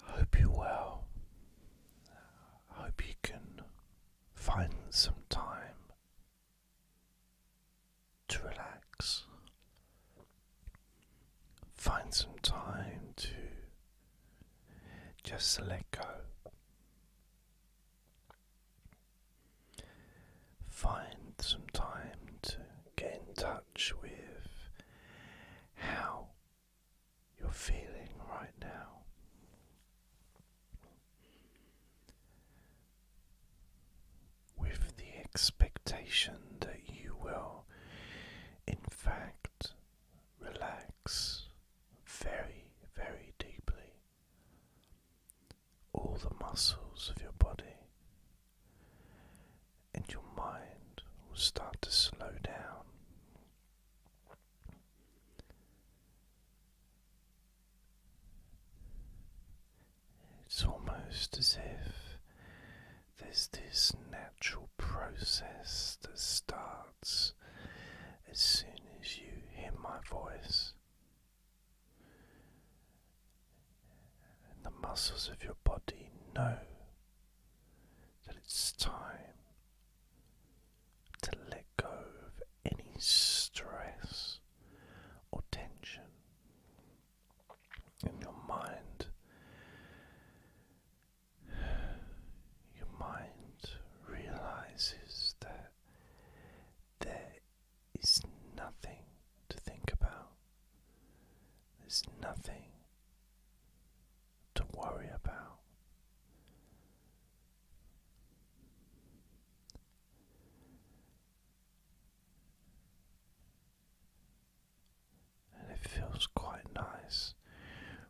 hope you well. hope you can find some time to relax. Find some time to just let go find some time to get in touch with how you're feeling right now. With the expectation that you will, in fact, relax very, very deeply all the muscles of your body, and your mind will start to slow down. It's almost as if there's this natural process that starts as soon as you hear my voice the muscles of your body know that it's time to let go of any stress or tension in your mind. Your mind realizes that there is nothing to think about. There's nothing to worry about. And it feels quite nice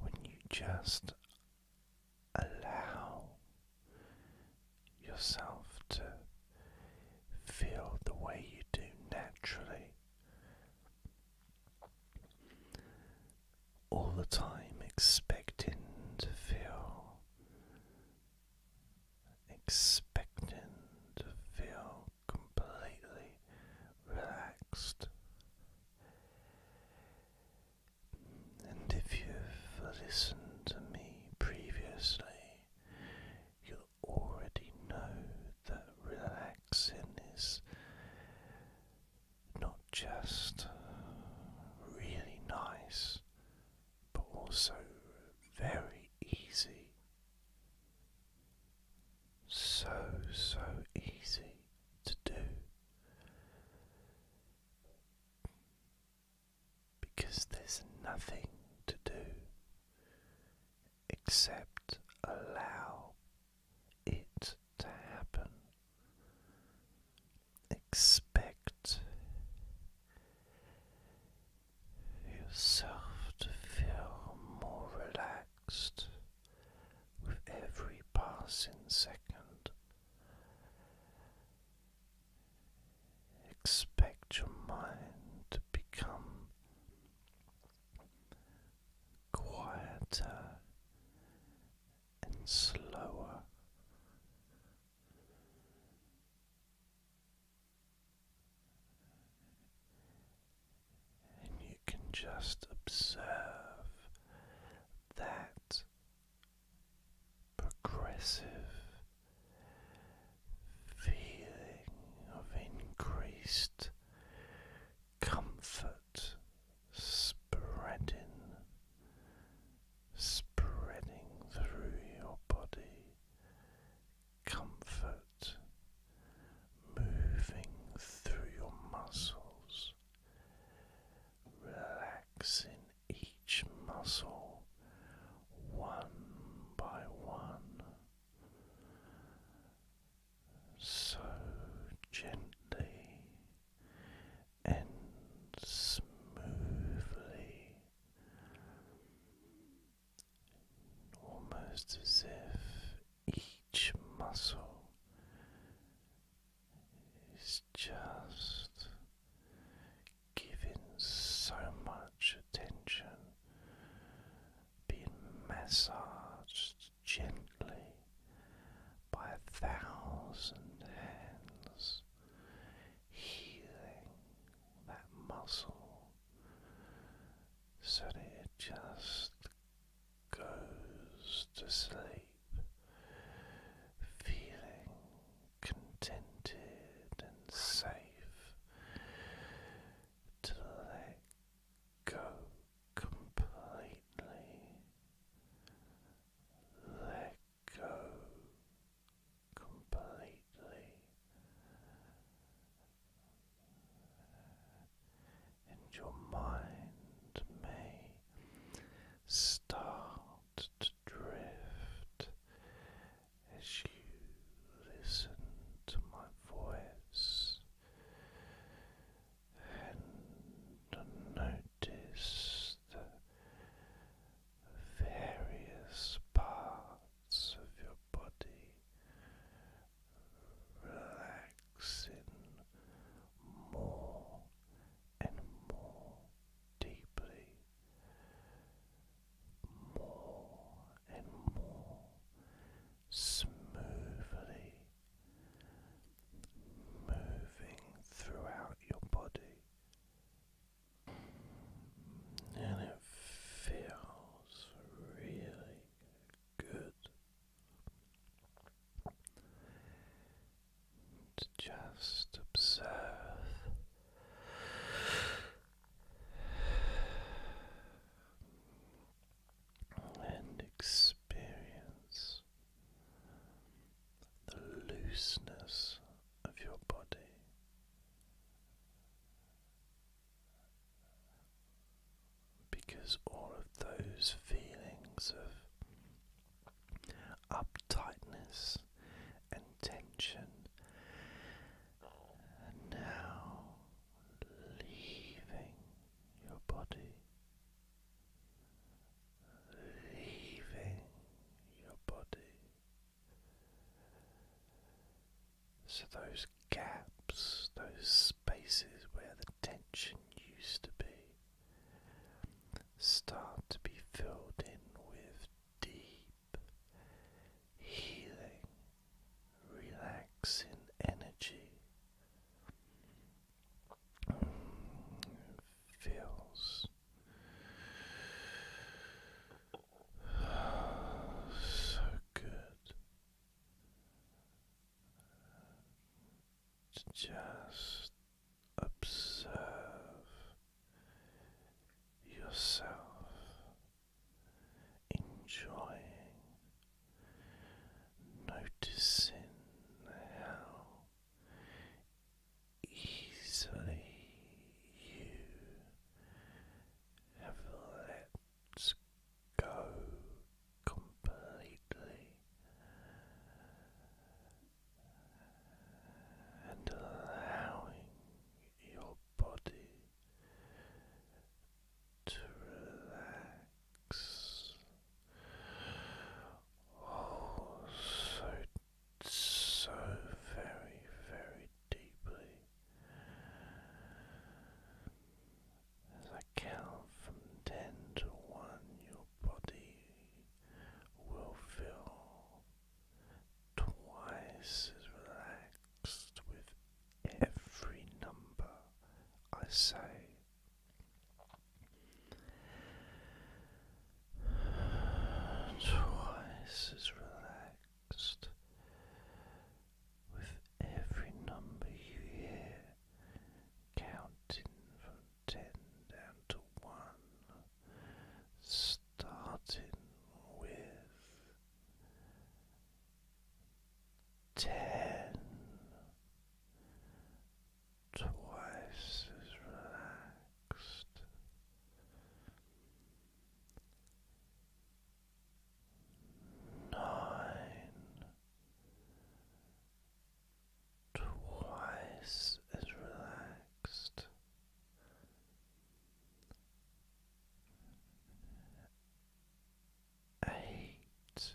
when you just allow yourself to feel the way you do naturally all the time, expecting to feel, expecting to feel completely relaxed. And if you've listened to me previously, you already know that relaxing is not just really nice, but also very easy. So, so easy to do because there's nothing to do except allow it to happen. Expect yourself to feel more relaxed with every passing second. Expect your mind to become quieter and slower. And you can just observe that progressive feeling of increased comfort spreading spreading through your body comfort moving through your muscles relaxing each muscle one by one, so gently and smoothly, almost as if each muscle is just giving so much attention, being massaged gently by a thousand hands, healing that muscle so that it just goes to sleep, feeling contented and safe to let go completely, let go completely. And your mind may start drift as you listen to my voice and notice the various parts of your body relaxing more and more deeply more and more smoothly moving throughout your body. And it feels really good to just observe and experience the looseness of your body. Because all of those feelings of uptightness and tension. And now leaving your body, leaving your body. So those gaps, those spaces where the tension used to be, start to be filled in with deep, healing, relaxing energy. feels so good just Observe yourself enjoying, noticing how easily you have let go completely and allowing your body to relax. Oh, so, so very, very deeply. As I count from ten to one, your body will feel twice as relaxed with every number I say. Twice as relaxed with every number you hear, counting ten down to one, starting with ten, twice as relaxed. Nine, twice as relaxed. Eight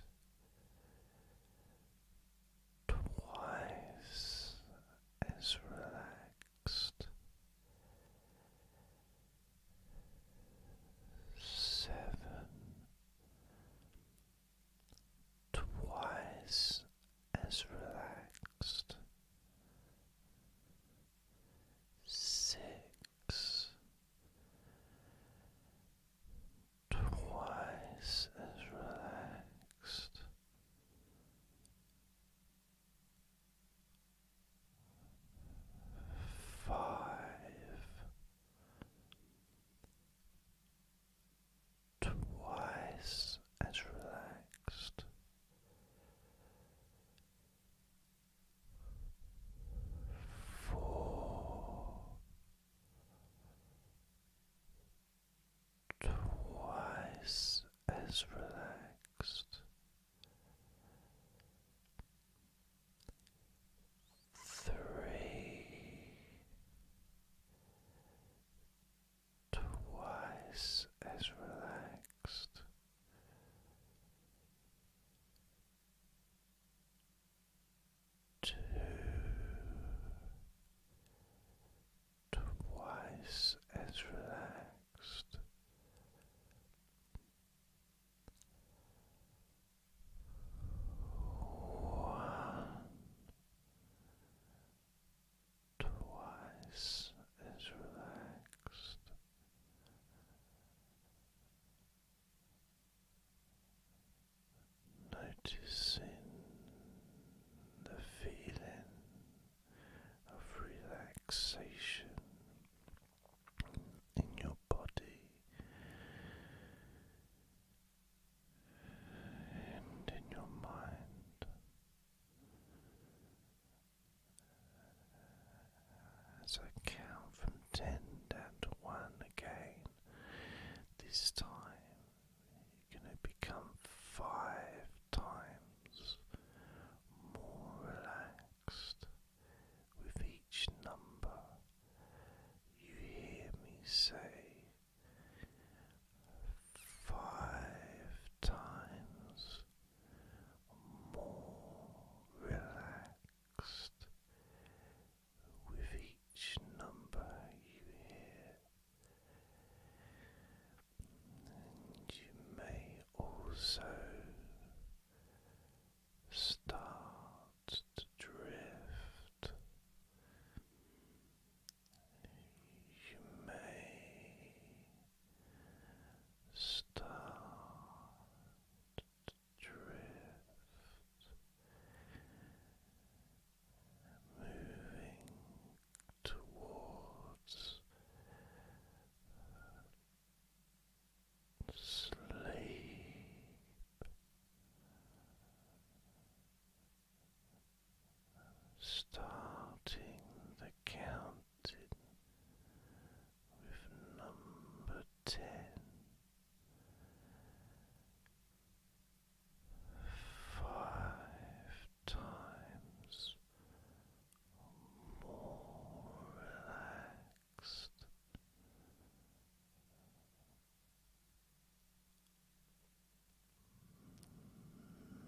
twice as relaxed. Seven twice as relaxed. Six twice as relaxed. Five twice as relaxed. Four twice as relaxed. Three twice as relaxed. Two twice as relaxed. One twice as relaxed. Noticing the feeling of relaxation in your body, and in your mind as I count from ten down to one again. This time you're going to become five times more relaxed with each number. You hear me say five times more relaxed with each number you hear. And you may also start to drift. You may start to moving towards sleep starting the counting with number ten. times more relaxed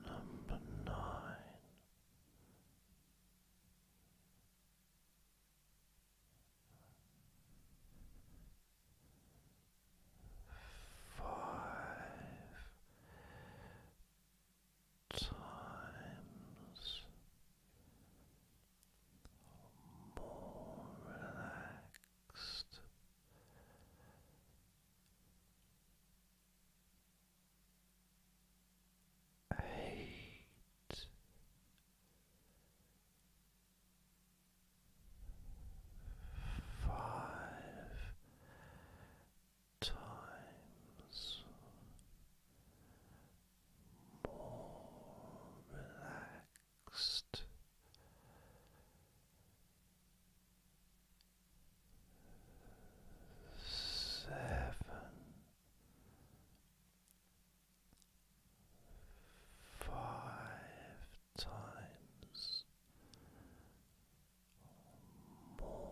Number nine. Five times more relaxed. Eight five times more relaxed relaxed. Seven, five times more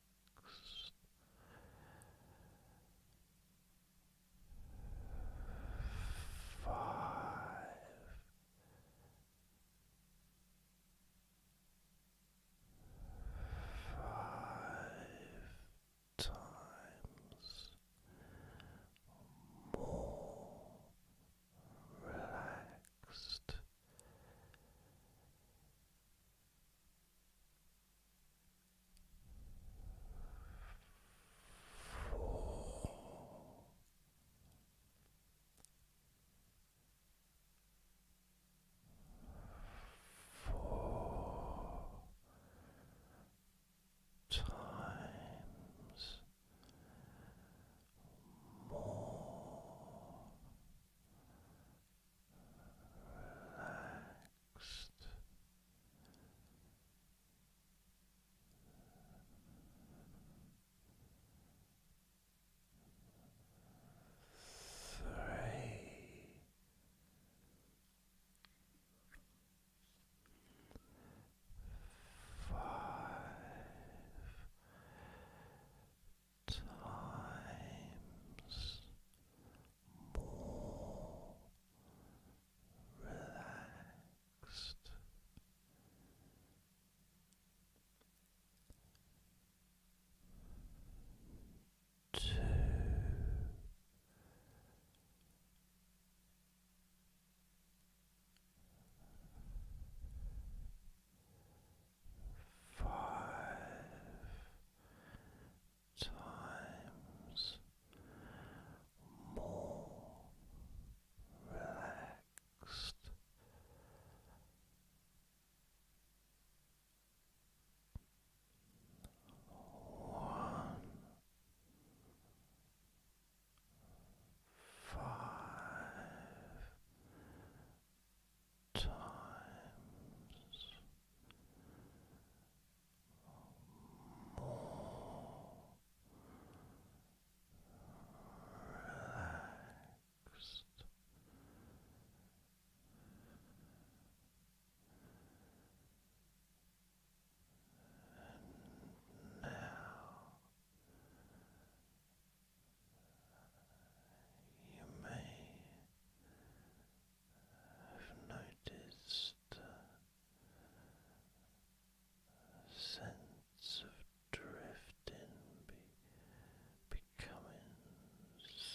five. Five times more relaxed times more relaxed. Three. Five times more relaxed. Two five times more relaxed. One, five times more relaxed. And now you may I've noticed a sense of drifting becoming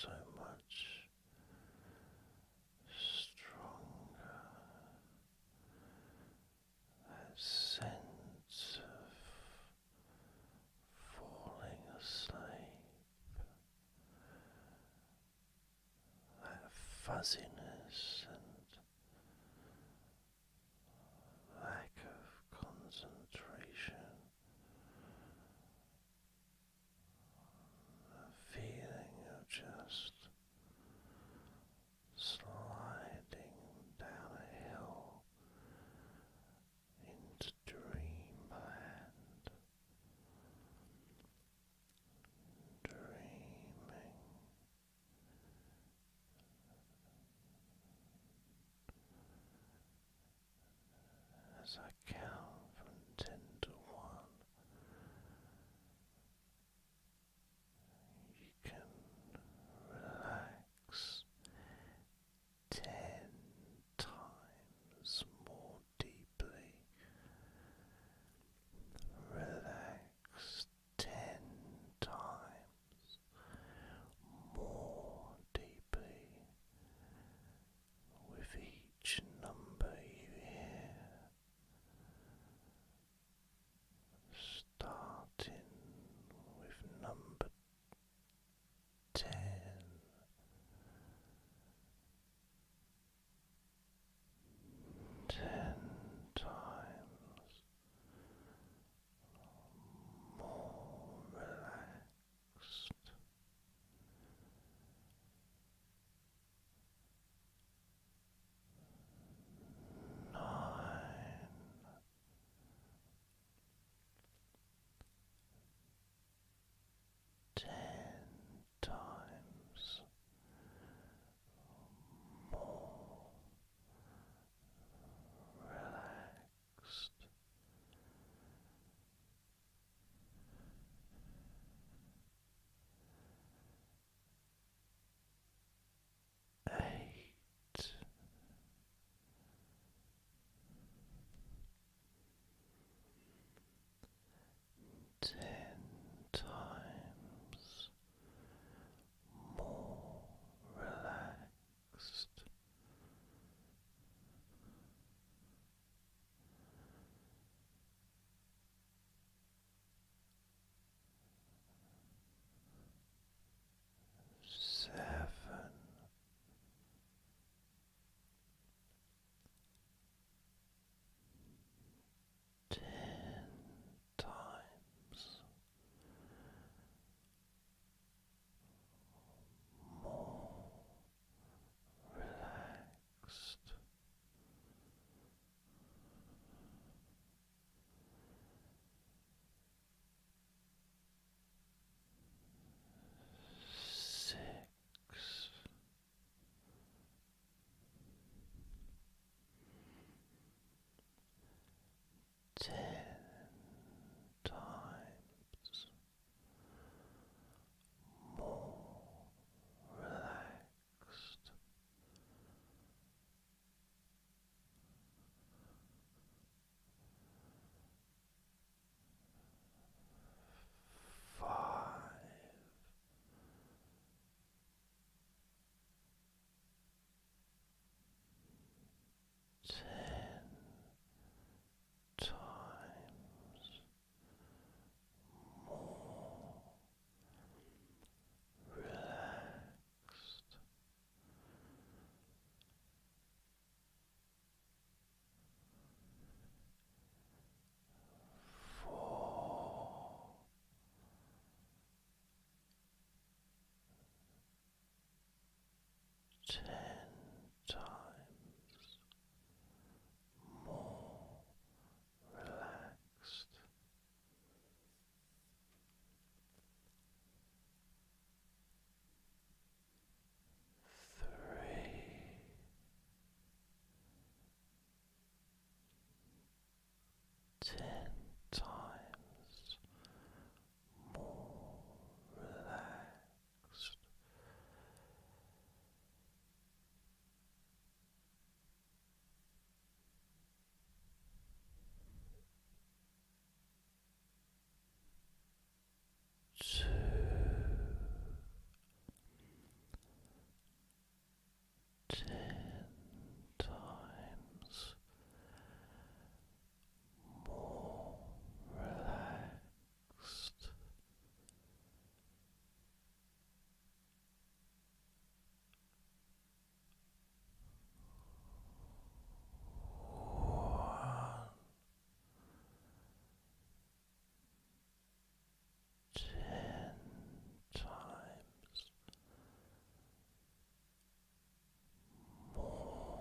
so much stronger. That sense of falling asleep that fuzziness and lack of concentration, the feeling of just sliding down a hill into dreamland, dreaming. As I count from ten to one, you can relax ten times more deeply. Relax ten times more deeply with each number you hear. Starting with number Ten times more relaxed Nine ten times more relaxed. Eight ten times more relaxed seven. Ten times more relaxed, six. Ten times more relaxed, five. Ten times more relaxed Ten times more relaxed three. Ten times more relaxed, two, ten times more relaxed. One, ten times more relaxed.